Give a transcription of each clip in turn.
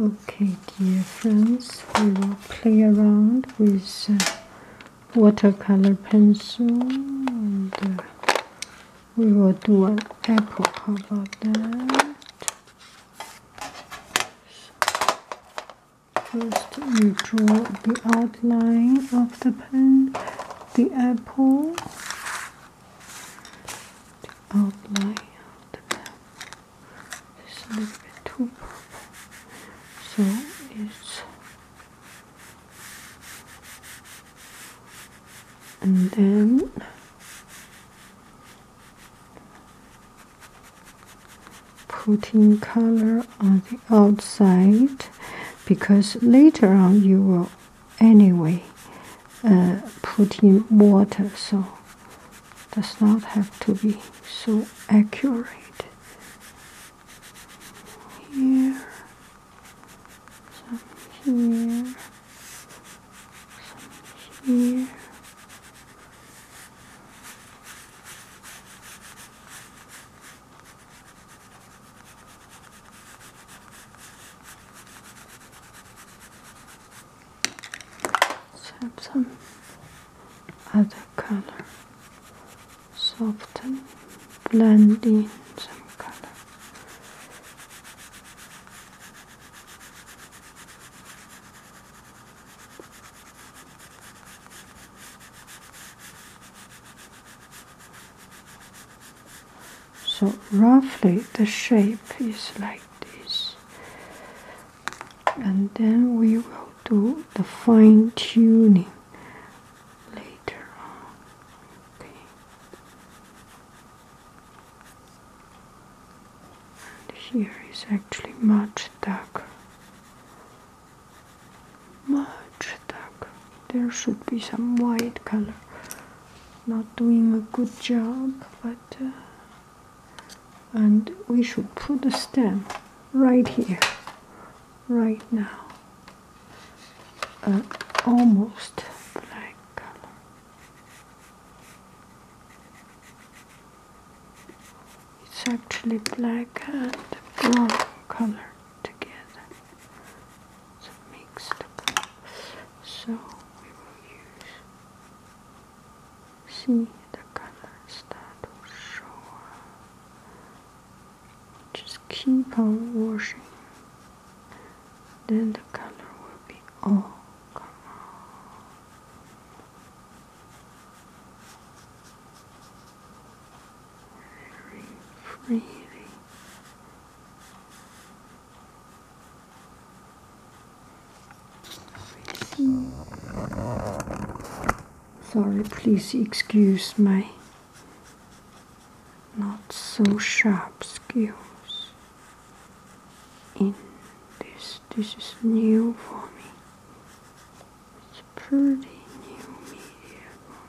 Okay, dear friends, we will play around with uh, watercolor pencil and uh, we will do an apple. How about that? First, you draw the outline of the pen, the apple, the outline of the pen is a little bit too purple. So it's and then putting color on the outside because later on you will anyway uh, put in water, so does not have to be so accurate. Here, some here, some here have some other color. Soften, blend in some color. So roughly the shape is like this. And then we will do the fine tuning later on. And here is actually much darker. Much darker. There should be some white color not doing a good job, but uh, and we should put a stamp right here, right now. Uh, almost black color. It's actually black and brown color together. So mixed. So we will use see the colors that will show just keep on washing then the color will be oh come on very Sorry, please excuse my not so sharp skills in this. This is new for me. It's pretty new media for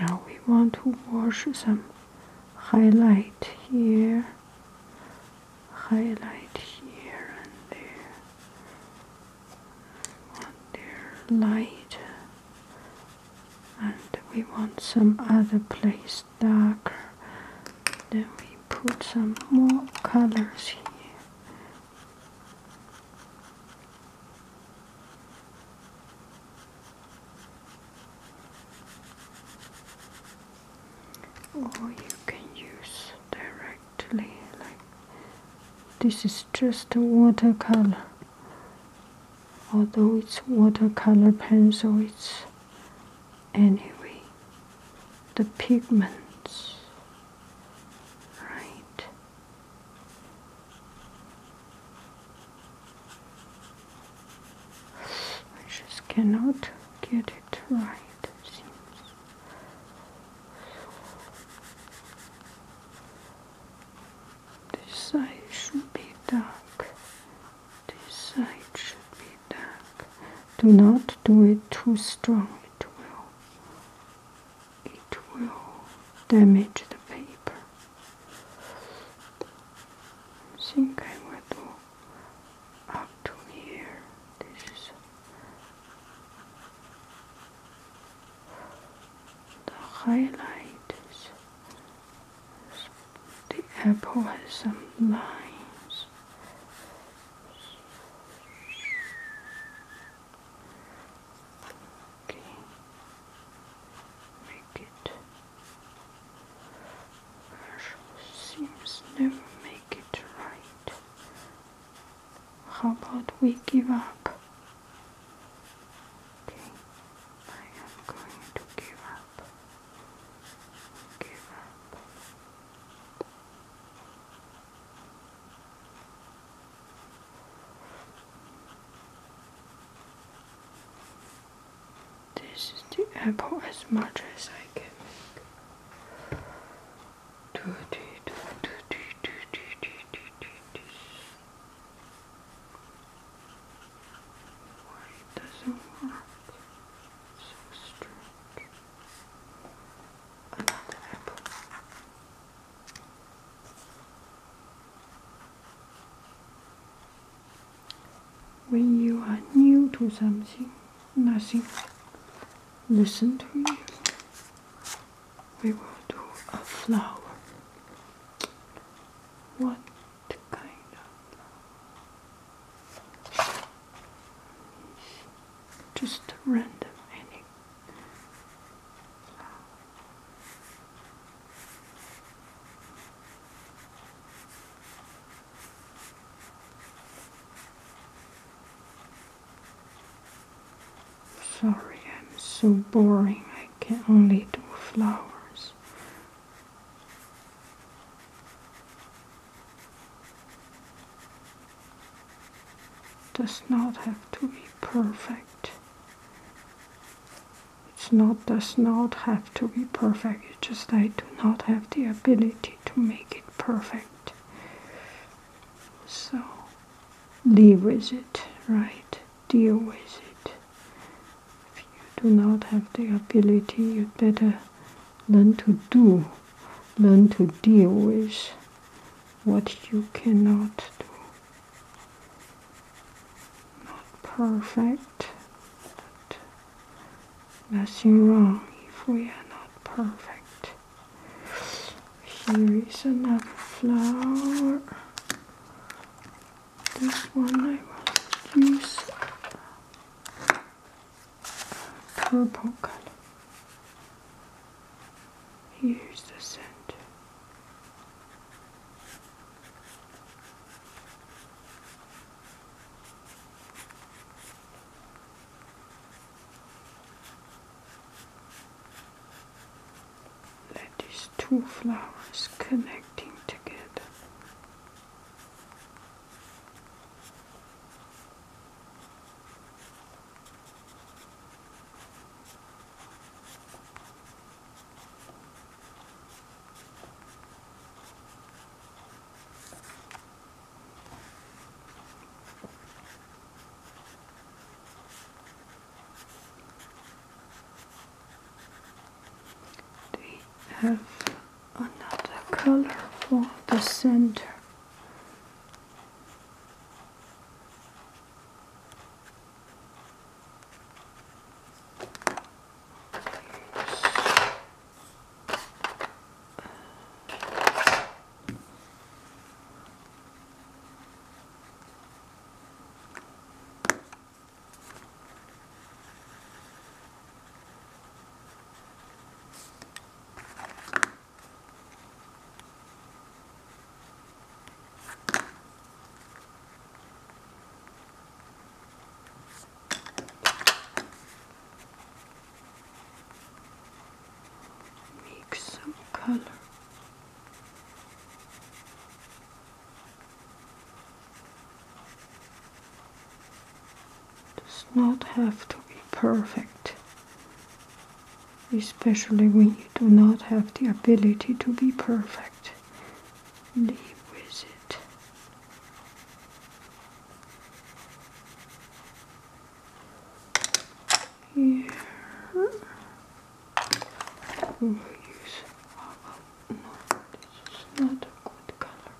Now we want to wash some highlight here, highlight here and there. want their light and we want some other place is darker then we put some more colors here or you can use directly like this is just a watercolor although it's watercolor pencil it's anyway the pigments right I just cannot get it right seems this side should be dark this side should be dark. Do not do it too strong. It will, it will damage the paper. think I will do up to here. This the highlight. The apple has some lines. Okay. Make it. Seems never make it right. How about we give up? Okay, I am going to give up. This is the apple as much as I can when you are new to something, nothing listen to me. We will do a flower. What kind of just random any Sorry, I'm so boring. I can only do flowers does not have to be perfect. It's not does not have to be perfect, just I do not have the ability to make it perfect. So live with it, right? Deal with it. If you do not have the ability, you better learn to do, learn to deal with what you cannot do. Not perfect, nothing wrong if we are not perfect. Here is another flower this one I will use purple color. Here's the center. Let these two flowers connect. Team ticket. They have another color for the center? Make some color does not have to be perfect, especially when you do not have the ability to be perfect. Live with it. Here. Use. no, this is not a good color.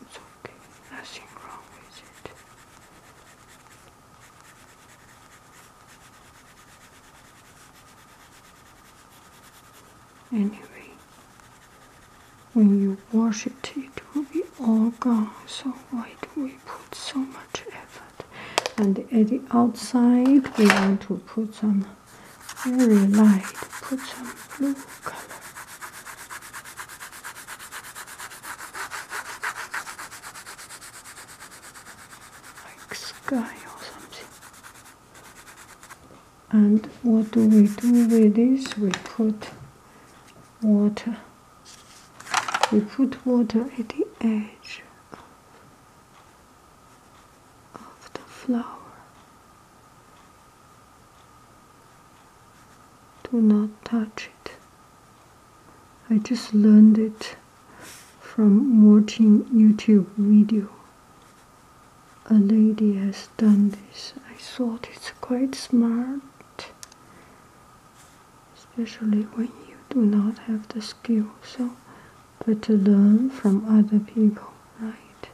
It's okay, nothing wrong with it. Anyway, when you wash it, it will be all oh gone. So why do we put so much effort? And at the outside, we want to put some very light, put some blue color. Like sky or something. And what do we do with this? We put water we put water at the edge of the flower do not touch it i just learned it from watching youtube video a lady has done this i thought it's quite smart especially when you do not have the skill so but to learn from other people right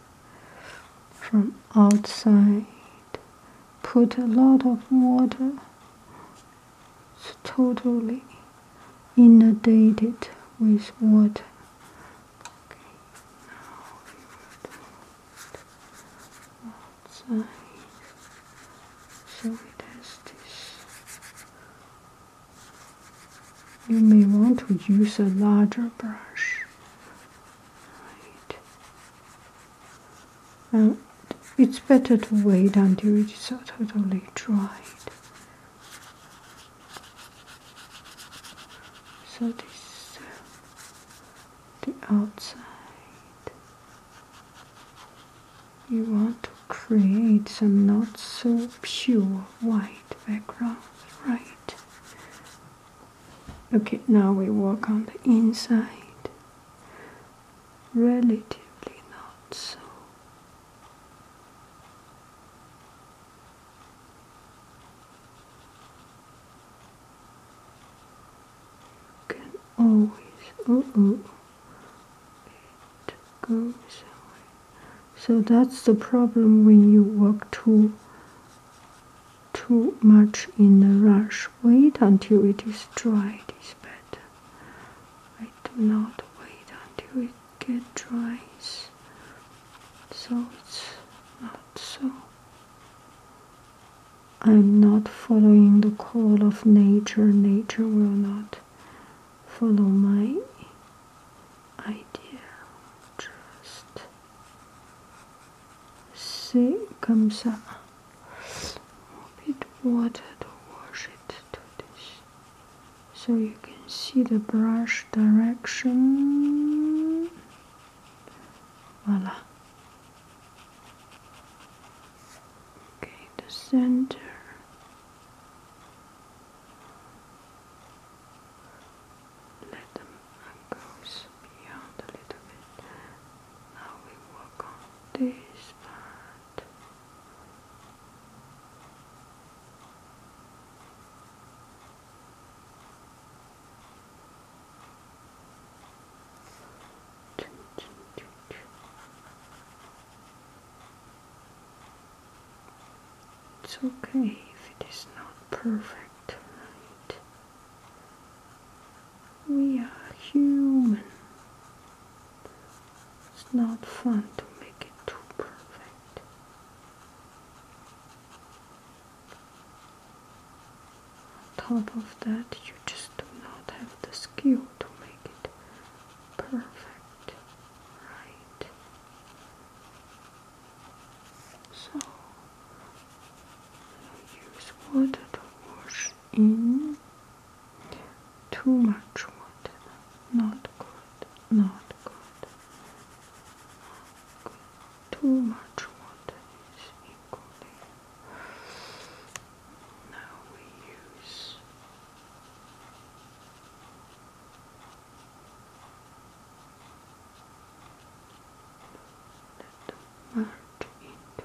from outside put a lot of water it's totally inundated with water outside. So it has this. You may want to use a larger brush. Right. And it's better to wait until it's totally dried. So this the outside. You want to create some not so pure white background, right? Okay, now we work on the inside. Relatively not so can always oh oh So that's the problem when you work too too much in a rush. Wait until it is dry. It's better. I do not wait until it gets dry so it's not so I'm not following the call of nature. Nature will not follow my idea. Just see, comme ça. A bit water to wash it to this, so you can see the brush direction voila okay the center let them goes beyond a little bit now we work on this part it's okay if it is not perfect, right? We are human. It's not fun to make it too perfect. On top of that, you just do not have the skill to make it perfect, right? So, use water to wash in. Too much water, not good, not good. Good too much water is equally. Now we use let into it.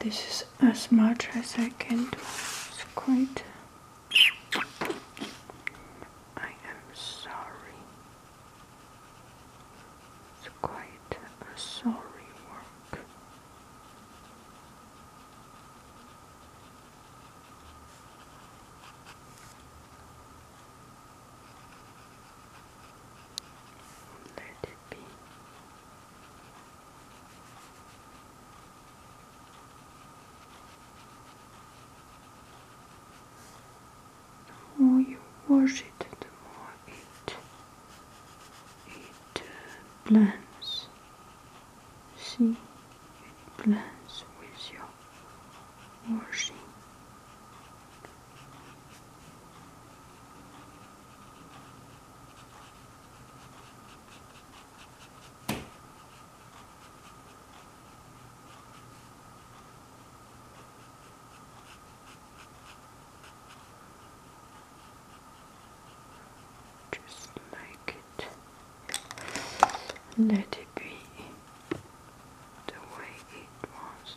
This is as much as I can do. It's quite I am sorry. It's quite a sorry work. Let it be the more you wash it, the more it it blends. See, it blends with your washing. Just make it let it be the way it wants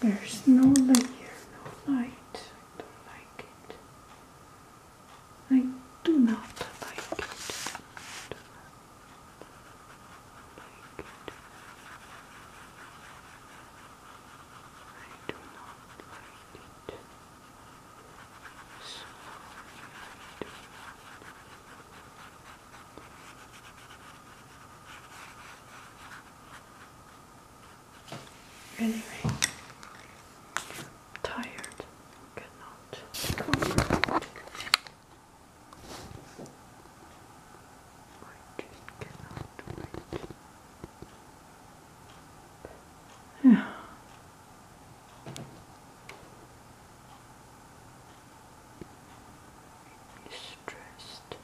There's no light here. no light. I don't like it. I do not like it. I do not like it. I do not like it. I do not Anyway, tired. Cannot. I cannot Yeah. Stressed.